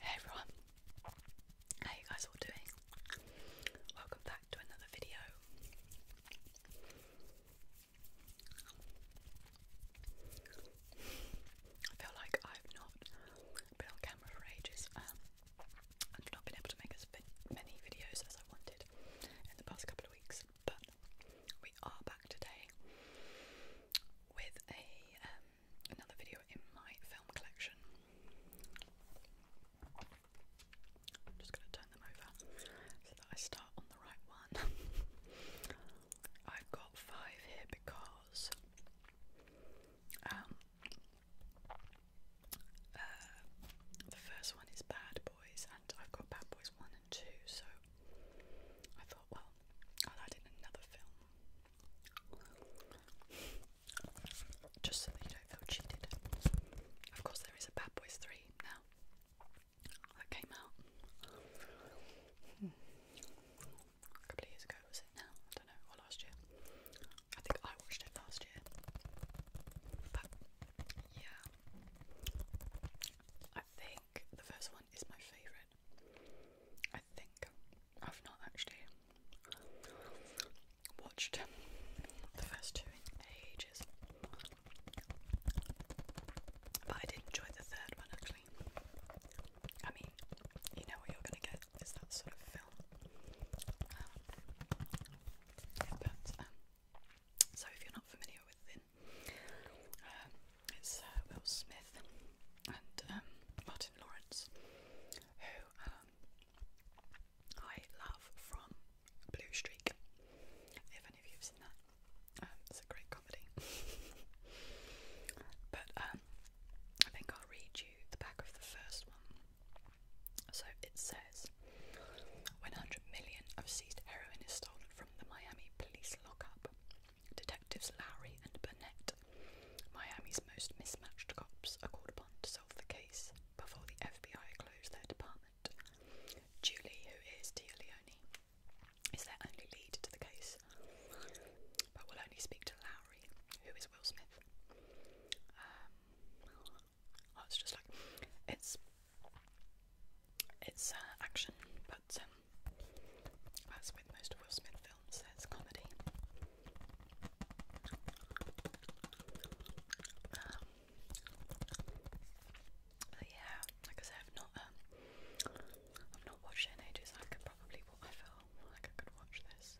Hey everyone, how you guys all doing? Welcome back to another video. I feel like I've not been on camera for ages. Um, not been able to make as many videos as I wanted in the past couple of weeks but we are back today with a um, another video in my film collection. I'm just going to turn them over so that I start on the right one. I've got five here because um, uh, the first one is Bad Boys, and I've got Bad Boys 1 and 2, so I thought, well, I'll add in another film just so that you don't feel cheated. Of course, there is a Bad Boys 3 now that came out hmm. a couple of years ago, was it now? I don't know, or last year. I think I watched it last year. But yeah, I think the first one is my favourite. I think I've not actually watched the first two in ages, but I did enjoy the third one actually. I mean, you know what you're gonna get is that sort of film. Um, but, um, so if you're not familiar with the in. Um, it's uh, Will Smith and um, Martin Lawrence, who um, I love from Blue Streak. If any of you have seen that, um, it's a great comedy. but um, I think I'll read you the back of the first one. So it says, when 100 million of seized heroin is stolen the Miami police lockup. Detectives Lowry and Burnett, Miami's most mismatched cops, are called upon to solve the case before the FBI close their department. Julie, who is Tia is their only lead to the case, but will only speak to Lowry, who is Will Smith. Um, oh, just like, it's it's uh, action, but um, as with most of Will Smith films, there's comedy. Um, yeah, like I said, not, um, I've not watched in ages. I could probably, I feel like I could watch this.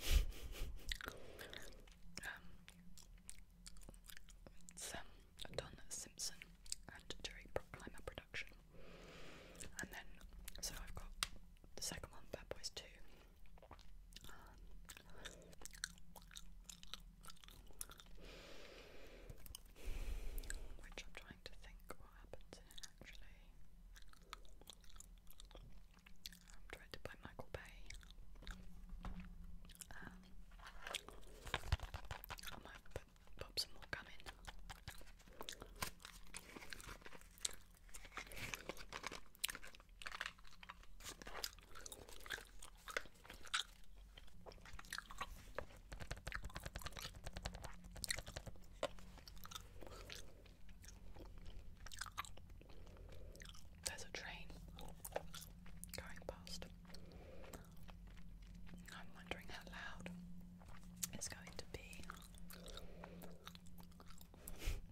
um, it's um, Don Simpson and Jerry Bruckheimer production. And then, so I've got the second one, Bad Boys 2. which I'm trying to think what happens in it actually. Um, directed by Michael Bay. I might put, pop some more gum in. There's a train going past. I'm wondering how loud it's going to be.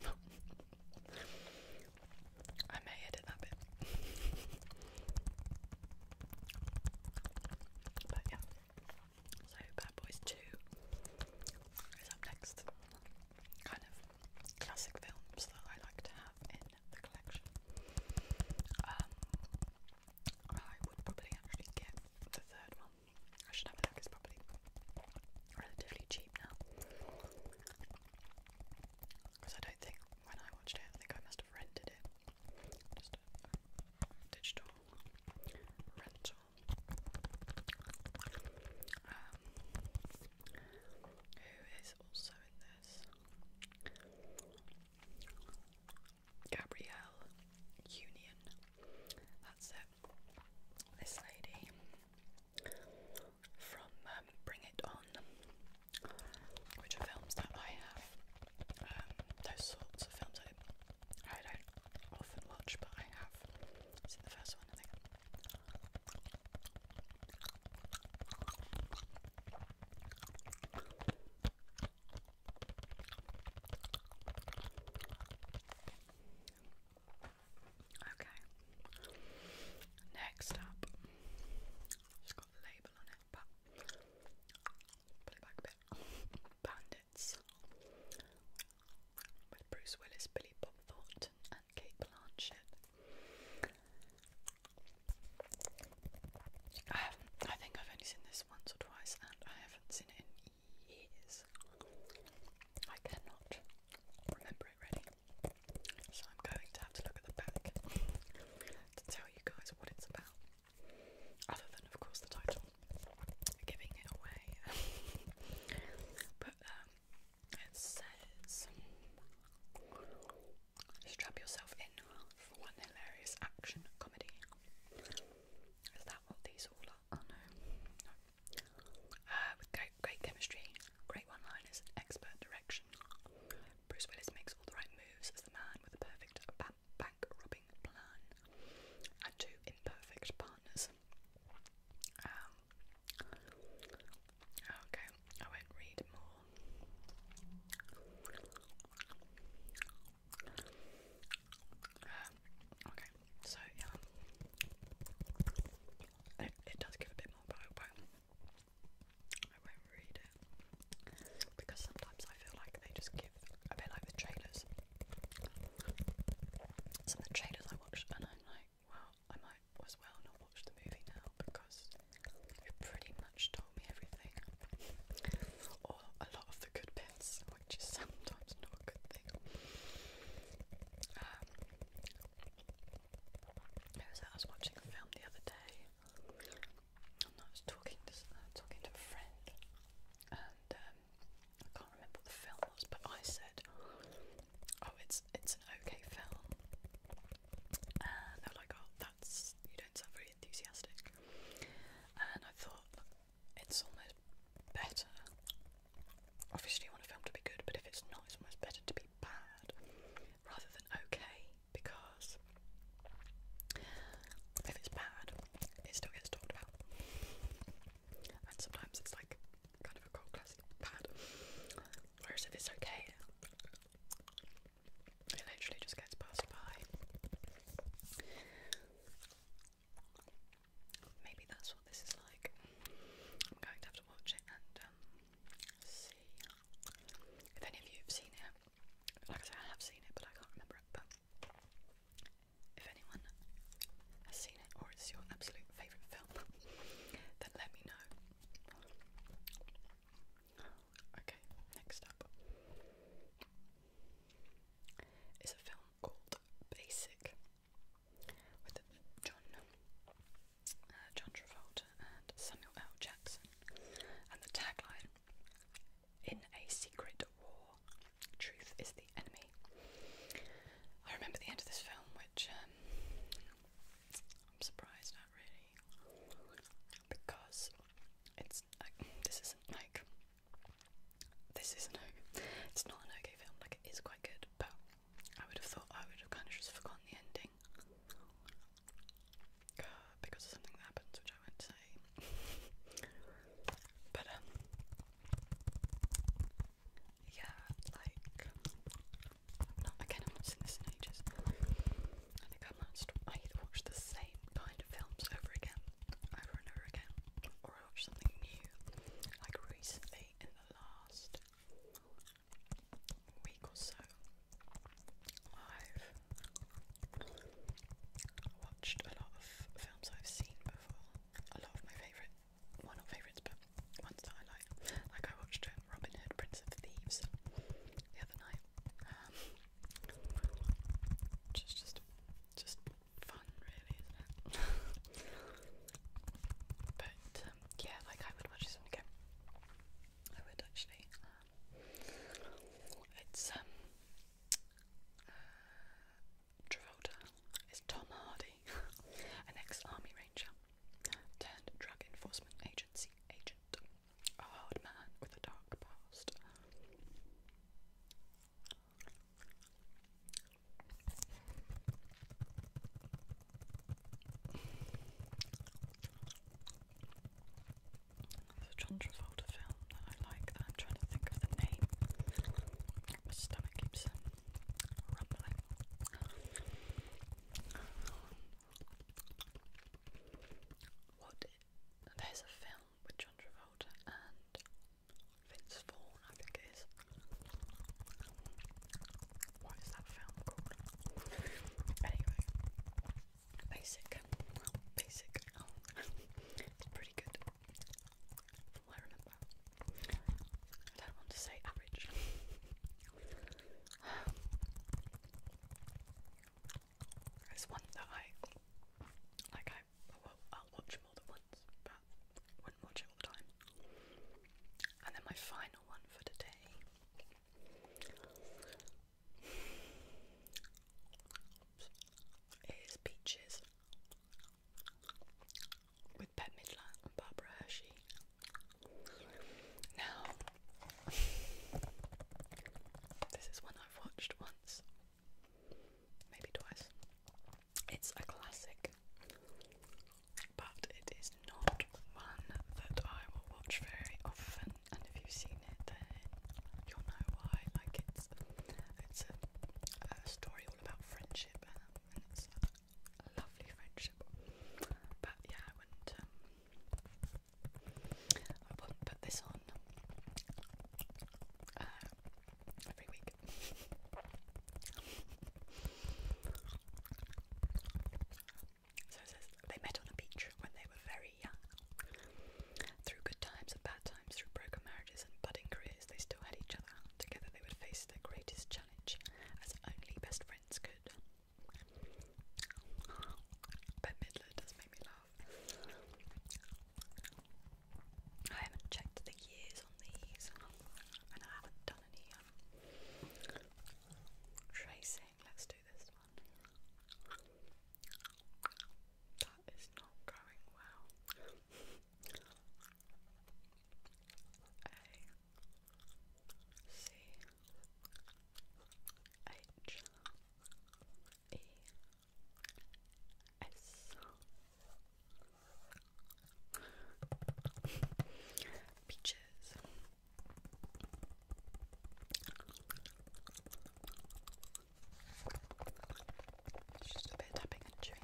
I may edit that bit. but yeah. So Bad Boys 2 is up next. Kind of classic films that I like to have in the collection. Um, I would probably actually get the third one. I should have a look, probably relatively cheap now. Because I don't think, when I watched it, I think I must have rented it. Just a digital rental. Um, who is also in this. Gabrielle Union. That's it. This lady from um, Bring It On, which are films that I have. Um, those sorts of films I, I don't often watch, but I have the first one, Okay. Next up, it got the label on it, put it back a bit. Bandits with Bruce Willis, Billy Bob Thornton, and Kate Blanchett. I think I've only seen this once or twice, and I haven't seen it in years. I cannot remember it really, so I'm going to have to look at the back to tell you guys what it's about. Other than, of course, the title, giving it away. but um, it says, strap yourself in for one hilarious action comedy. Is that what these all are? Oh no. no. Uh, with great, great chemistry, great one liners, expert direction. Bruce Willis makes all the right moves as the man with the perfect bank robbing plan. And two imperfect partners. Um, Okay, I won't read more. Uh, okay, so yeah, it, it does give a bit more, but I won't. read it because sometimes I feel like they just give a bit like the trailers. Some of the trailers I watch and I'm like, well, I might as well not watch the movie now because you've pretty much told me everything. or a lot of the good bits, which is sometimes not a good thing. Um, I was watching a film the other day I was talking to, uh, talking to a friend and um, I can't remember the film but I said oh, it's it's an okay film. And they were like, oh, that's you don't sound very enthusiastic. And I thought it's almost better. Obviously, you want a film to be good, but if it's not, it's almost better to be bad rather than okay because if it's bad, it still gets talked about. And sometimes it's like kind of a cold classic pad. Whereas it's okay, it literally just gets passed by. Maybe that's what this is like. I'm going to have to watch it and um, see if any of you have seen it. Like I said, I have seen it, but I can't remember it. But if anyone has seen or it's your absolute favourite film, then let me know. Okay, next up is a film called Basic with John uh, John Travolta and Samuel L. Jackson, and the tagline: "In a secret war, truth is the enemy I remember the end of this film, which um, I'm surprised at really, because it's this isn't like this isn't it's not an okay film. Like it is quite good, but I would have thought I would have kind of just forgotten the ending uh, because of something that happens, which I won't say. but um, yeah, like not again I've not seen this in ages. I think I must I either watch the same kind of films over again, over and over again, or I watch something new. Like recently in the last week or so I've watched a lot of films I've seen before. A lot of my favourite well not favourites but ones that I like. Like I watched uh, Robin Hood, Prince of Thieves the other night. Um, just just just fun really, isn't it? but um, yeah, like I would watch this one again. I would actually. Um, it's um uh, Travolta is Tom Hardy, an ex-army ranger turned drug enforcement agency agent, a hard man with a dark past. There's John Travolta film that I like that I'm trying to think of the name. My stomach keeps rumbling. What? There's a film with John Travolta and Vince Vaughn, I think it is. What is that film called? basic, basic. Oh, pretty good. I remember. I don't want to say average. it's one that I like. I well, I'll watch more than once, but wouldn't watch it all the time. And then my final one for today. Is peaches with Bette Midler and Barbara Hershey. Now, this is one I've watched once, maybe twice. It's a classic, but it is not one that I will watch very often. And if you've seen it, then you'll know why. Like it's it's a, a story all about friendship, um, a lovely friendship. But yeah, I wouldn't, um, put this on um, every week. So it says they met on the beach when they were very young. Through good times and bad times, through broken marriages and budding careers years, they still had each other. Together they would face their greatest challenge, as only best friends could. Ben Midler does make me laugh. I haven't checked the years on these, and I haven't done any um, tracing. Let's do this one. That is not going well. H E S Peaches it's just a bit of tapping and chewing.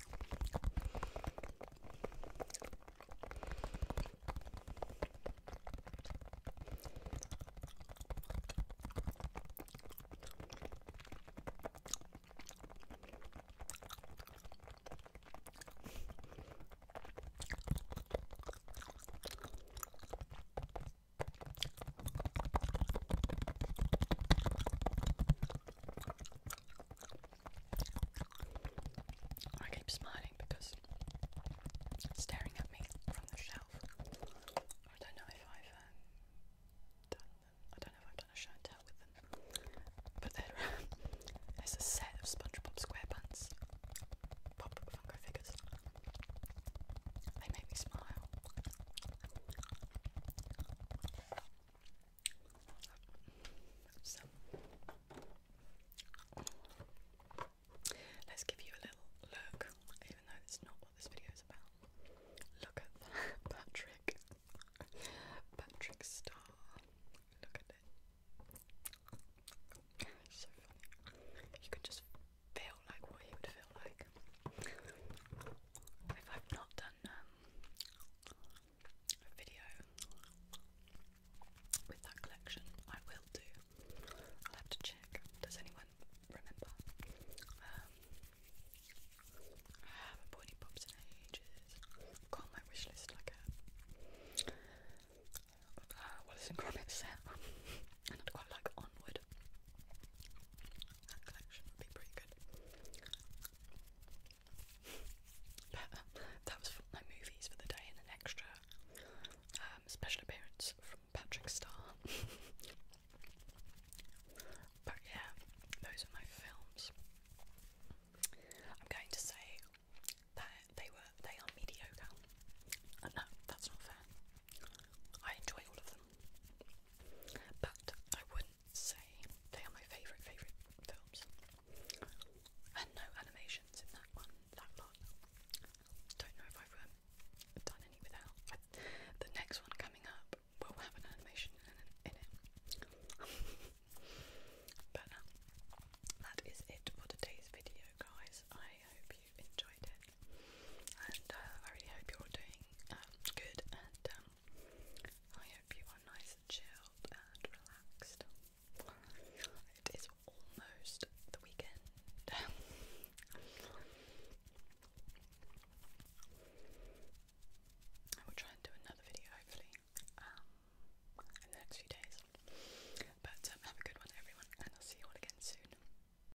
I keep smiling because staring at me from the shelf. I don't know if I've um, done I don't know if I've done a show and tell with them. But there's a set of SpongeBob SquarePants pop Funko figures. They make me smile let's give you a little look, even though it's not what this video is about. Look at that, Patrick. Patrick Star. Look at it. so funny. You could just feel like what he would feel like if I've not done um, a video with that collection. I will do. I'll have to check. Does anyone remember? Um, I haven't bought any pops in ages. got my wish list like a uh, Wallace and set, and I'd quite like Onward that collection would be pretty good. that was from my movies for the day and an extra um, special appearance from Patrick Starr. but yeah, those are my films. I'm going to say that they were they are mediocre. Uh, no, that's not fair. I enjoy all of them but I wouldn't say they are my favourite, favourite films. And no animations in that one, that lot. Don't know if I've um, done any without. the next one coming up will have an animation in, it. but um, that is it for today's video, guys. I hope enjoyed it. And uh, I really hope you're doing um, good and um, I hope you are nice and chilled and relaxed. It is almost the weekend. I will try and do another video hopefully um, in the next few days. But have a good one everyone and I'll see you all again soon.